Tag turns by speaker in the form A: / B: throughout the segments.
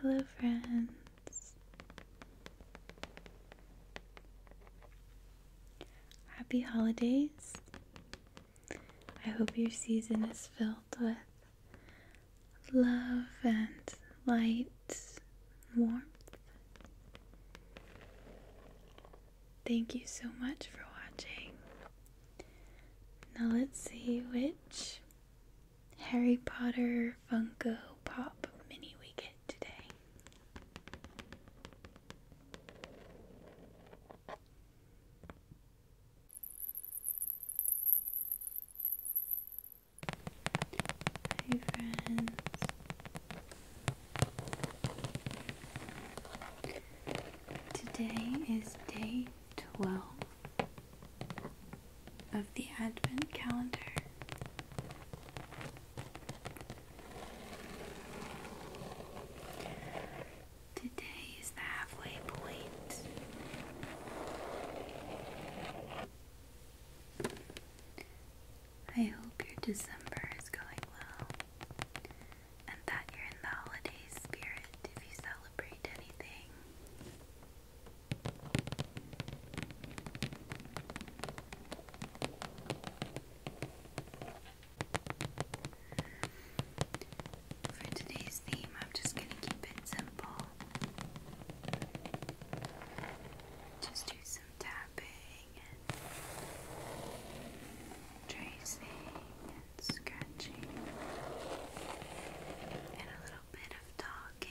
A: Hello, friends. Happy holidays. I hope your season is filled with love and light, warmth. Thank you so much for watching. Now, let's see which Harry Potter Funko Pop mini we get today. Hi friends. Today is day 12 of the Advent calendar. Today is the halfway point. I hope your December is going well and that you're in the holiday spirit if you celebrate anything. For today's theme, I'm just going to keep it simple. Just do some tapping and tracing and scratching and a little bit of talking.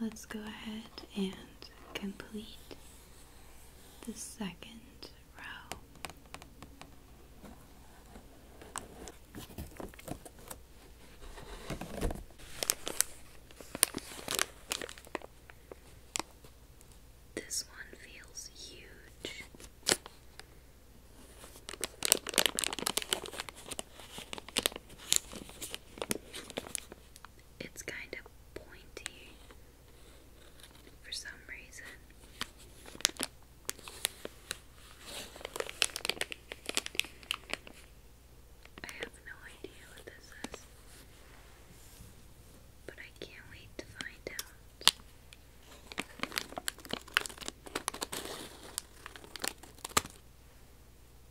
A: Let's go ahead and complete the second row. This one feels huge it's kind of pointy for some reason. I have no idea what this is, but I can't wait to find out.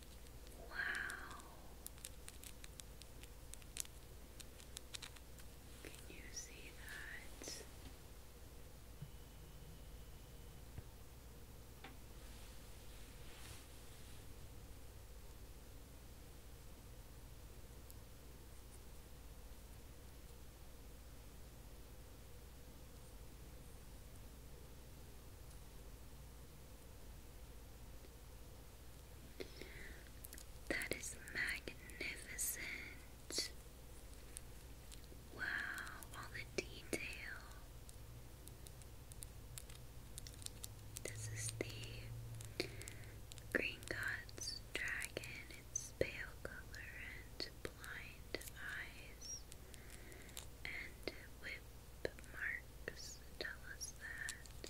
A: Wow. Can you see that? That is magnificent. Wow, all the detail. This is the Green God's dragon. It's pale color and blind eyes and whip marks tell us that.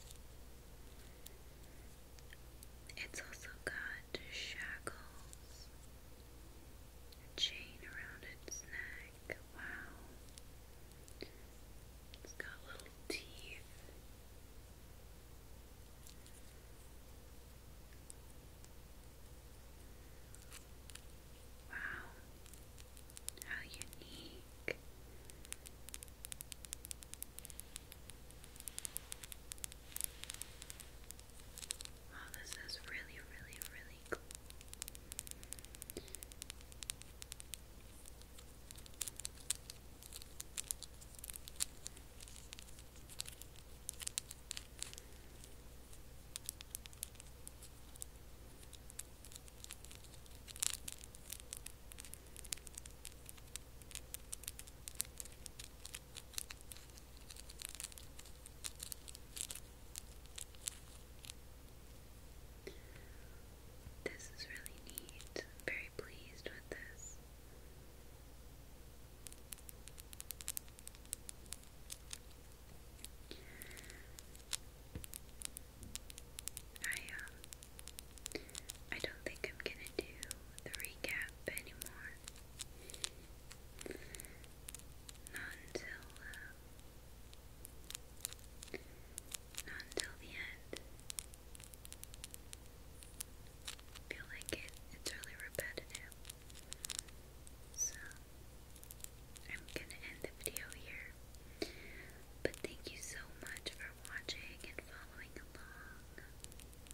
A: It's also got shackles, chain around its neck. Wow. It's got little teeth. Wow. How unique. Wow, this is really, really, really cool. This is really neat. I'm very pleased with this. I um I don't think I'm gonna do the recap anymore. Not until uh, not until the end. I feel like it it's really repetitive. So I'm gonna end the video here. But thank you so much for watching and following along.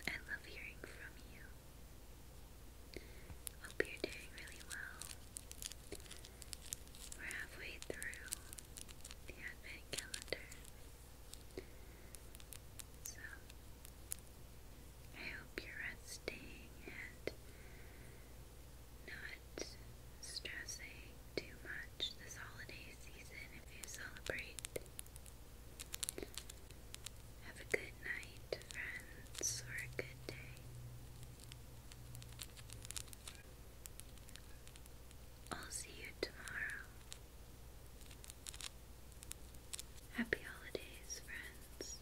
A: I love hearing from you. Hope you're doing really well. We're halfway through the Advent calendar. So, I hope you're resting and not stressing too much this holiday season if you celebrate. Have a good night, friends, or a good day. I'll see you tomorrow. Happy holidays, friends.